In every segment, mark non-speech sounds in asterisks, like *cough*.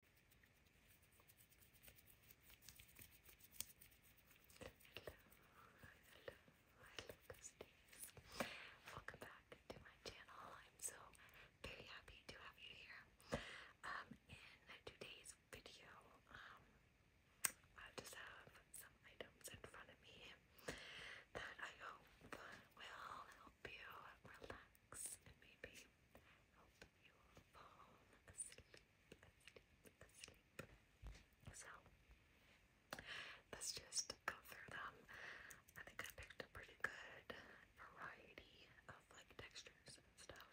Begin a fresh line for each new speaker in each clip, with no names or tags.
hello Lucas Days. Welcome back to my channel. I'm so very happy to have you here. Um, in today's video, um, I just have some items in front of me that I hope will help you relax and maybe hope you fall asleep, asleep, asleep. So, let's them. I think I picked a pretty good variety of like textures and stuff.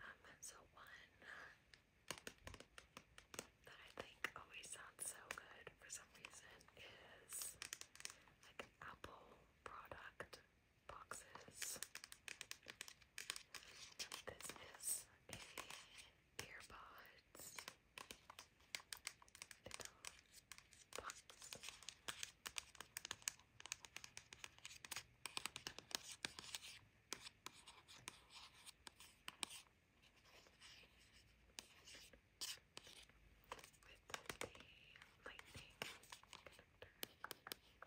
Um, so one that I think always sounds so good for some reason is like apple product boxes. This is a earbuds little box. With the lightning connector.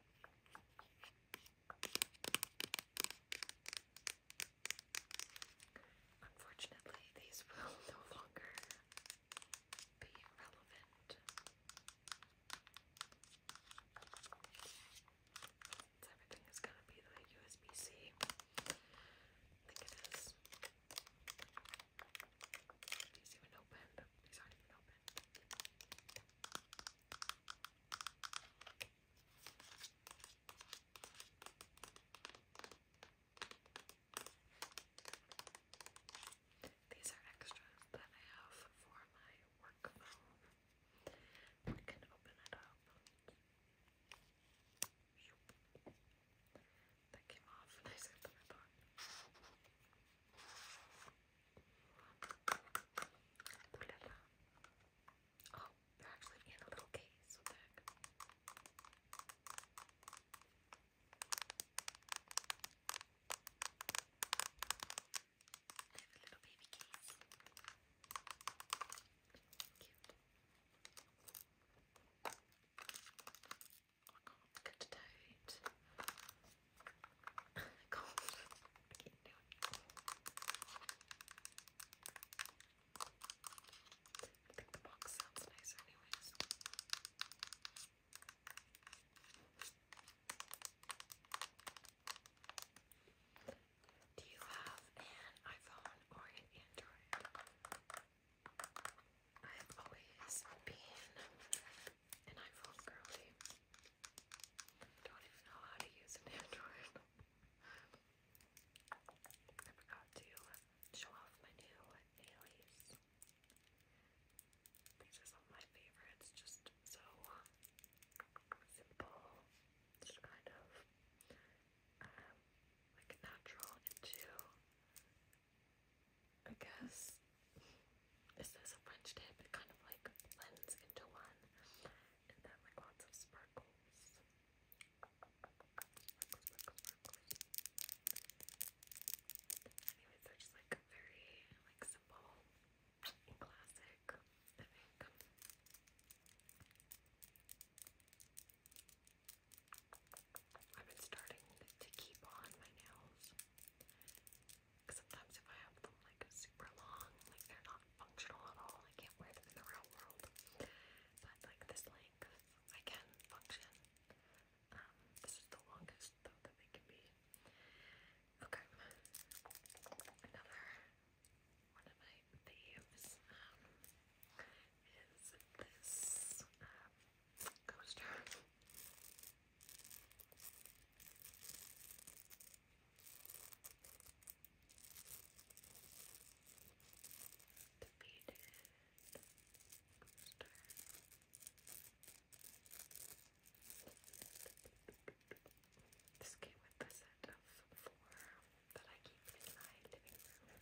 Unfortunately, these *laughs* will no longer be relevant. everything is going to be the USB C. I think it is. These even opened. These aren't even opened. These are extras that I have for my work phone. We can open it up. That came off and *laughs* I said that I Ooh la Oh, they're actually in a little case. little baby case. Cute. I can't I think the box sounds nice, anyways. Do you have an iPhone or an Android? I've always been an iPhone girly. Don't even know how to use an Android. *laughs* I forgot to show off my new nailies. These are some of my favorites, just so simple, just kind of um, like natural into I guess this is a French tip. It kind of like blends into one, and then like lots of sparkles. Anyways, they're just very like simple and classic. I've been starting to keep on my nails Cause sometimes if I have them like super long, like they're not functional at all. I can't wear them in the real world. But like this length, I can function. Um, this is the longest that they can be. Okay, another one of my faves um, is this uh, coaster. This came with a set of four that I keep in my living room.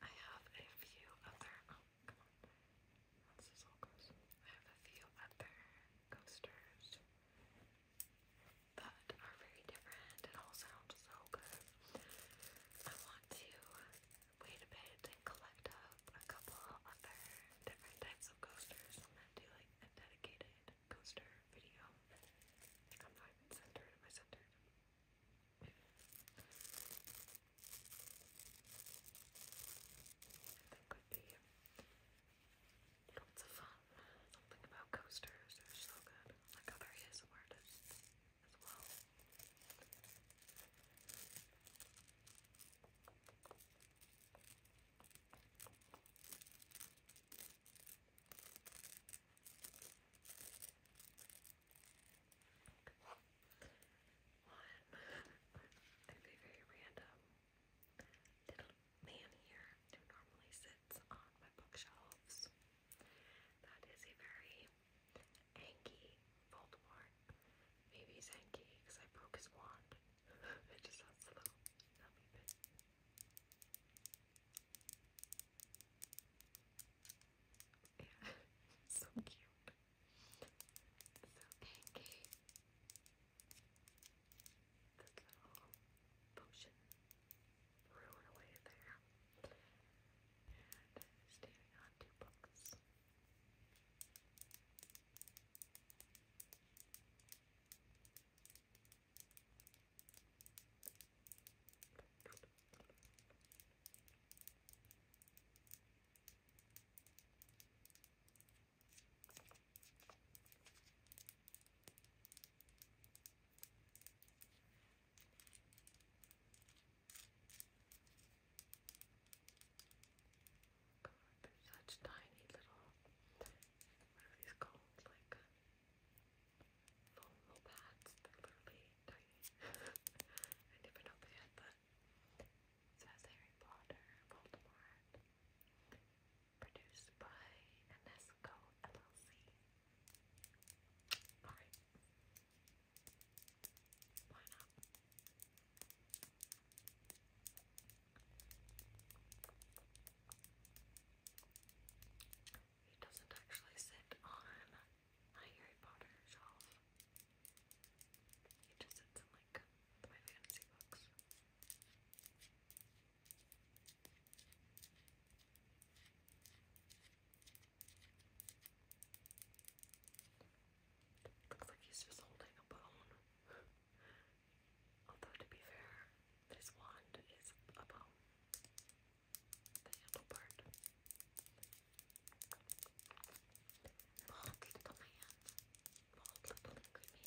I have a few other. Oh, come on. Once this all goes, I have a few other coasters that are very different and all sounds so good. I want to wait a bit and collect up a couple other different types of coasters and then do like a dedicated coaster video. I'm not even centered, am be lots of fun. Something about coasters, they're so good like a various very random. Little man here who normally sits on my bookshelves that is a very Anky Voldemort. Maybe he's Anky because I broke his wand. *laughs* it just sounds a little bit. Yeah, *laughs* so cute. So Anky. This little potion rolled away there. And standing on two books. God, they such tiny little, what are these called, like foam pads, they're literally tiny. *laughs* I never know they had says Harry Potter, Voldemort, produced by Anesco LLC. Okay. Why He doesn't actually sit on my Harry Potter shelf. He just sits in like my fantasy books. Looks like he's holding a bone. Although, to be fair, this wand is a bone. The handle part. Mold, little man. Mold, little angry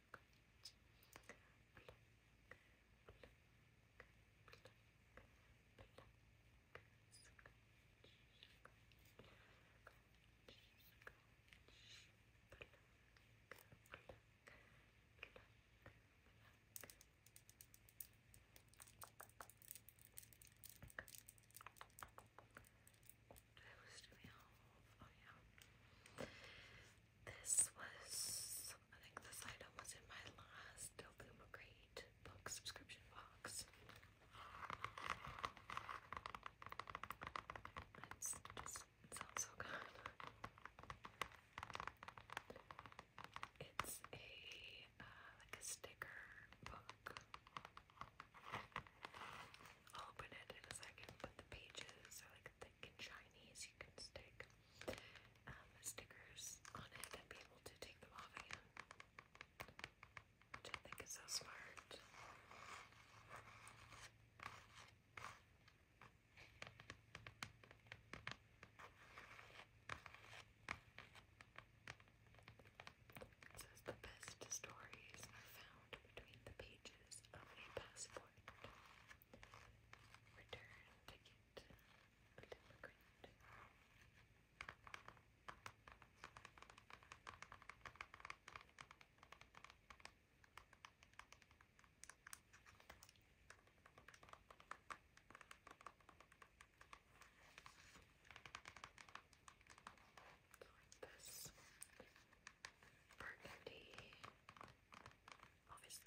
I was doing all of, oh yeah. This was, I think this item was in my last Novuma Great book subscription box. It's just, sounds so good. It's a, uh, like a sticker book. I'll open it in a second, but the pages are like thick and shiny as you can stick um, stickers on it and be able to take them off again. Which I think is so smart. says the best stories are found between the pages of a passport. Return ticket. Immigrant. Like this burgundy, obviously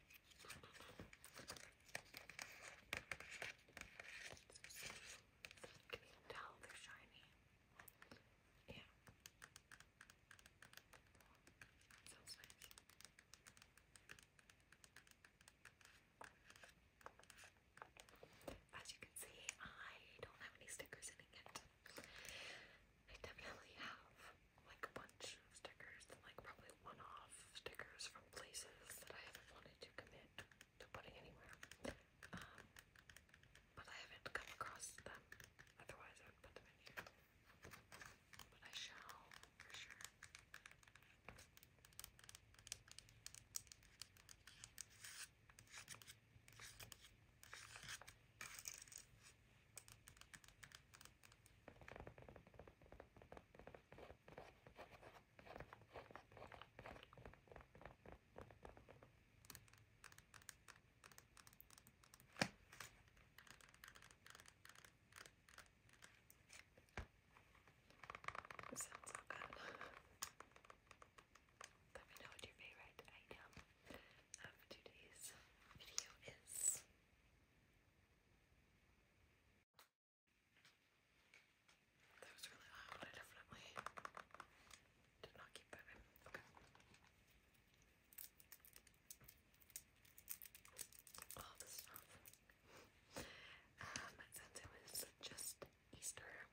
Can you tell they're shiny? Yeah. sounds nice. As you can see, I don't have any stickers in it I definitely have like a bunch of stickers, like probably one-off stickers from places that I haven't wanted to commit to putting anywhere. Um, but I haven't come across them. Otherwise, I would put them in here. But I shall for sure. This sounds so good. *laughs* Let me know what your favorite item of today's video is. That was really loud. I definitely did not keep that Okay. Um, since it was just Easter, I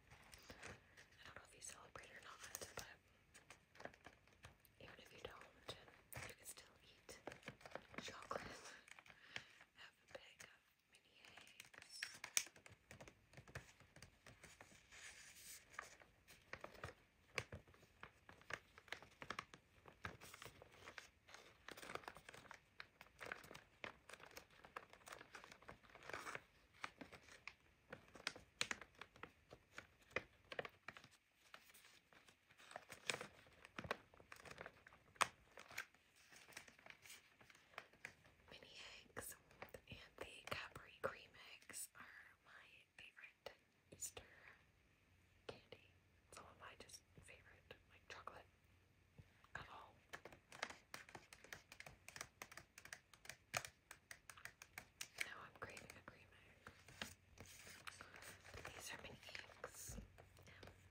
don't know if you celebrate or not, but even if you don't, you can still eat chocolate. *laughs* Have a bag of mini eggs. Mini eggs and the Capri cream eggs are my favorite Easter candy. Some of my just favorite, like chocolate Now I'm craving a cream egg. These are my eggs. I-N-I-E-G-S.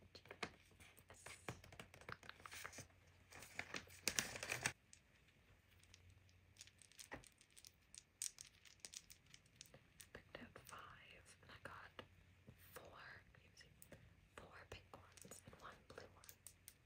I picked out five and I got four, four pink ones and one blue one.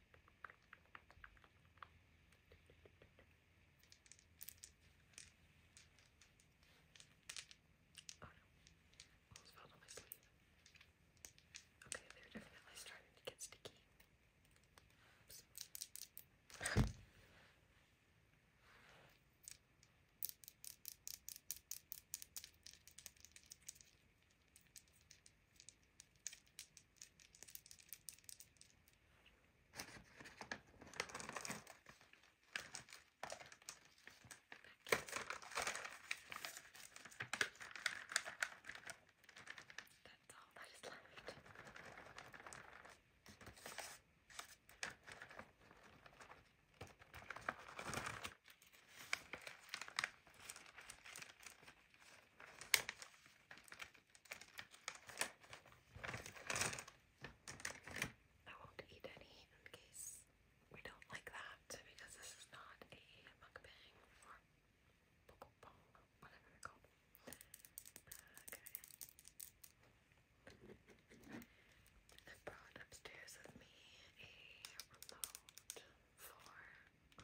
Oh no, almost fell on my sleeve. Okay, they're definitely starting to get sticky. Oops. That's all that is left. I won't eat any in case we don't like that because this is not a mukbang or pokopong, whatever they called. Okay. I brought upstairs with me a remote for um,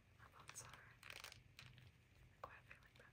My thoughts sorry. quite a bit like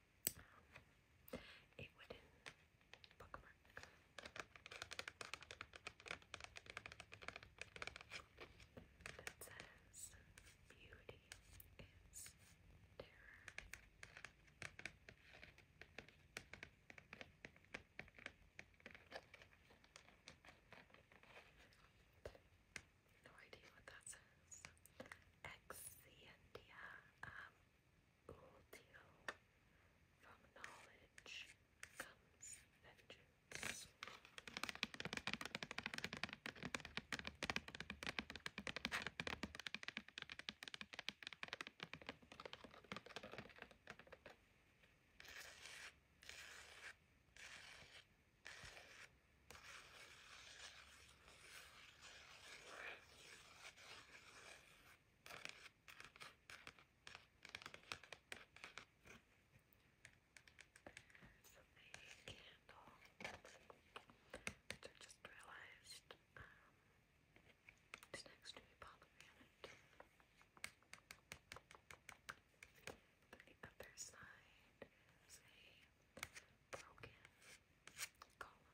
a wooden bookmark. That says, Beauty is terror. No idea what that says. Exientia um ultio. From knowledge comes vengeance. Which I just realized um, it's next to a pomegranate. But the other side is broken column.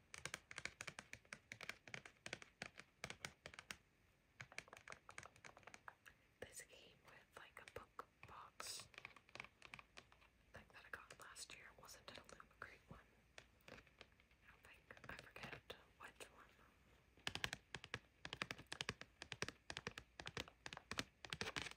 This came with like a book box like that I got last year. Wasn't it a one? I think I forget which one.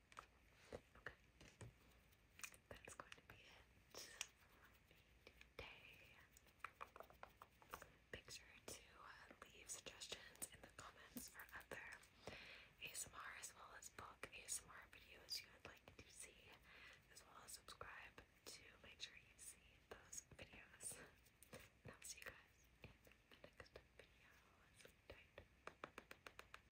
Okay. That's going to be it today. Make sure to uh, leave suggestions in the comments for other ASMR as well as book ASMR videos you would like to see, as well as subscribe to make sure you see those videos. I'll see you guys in the next video. Tight.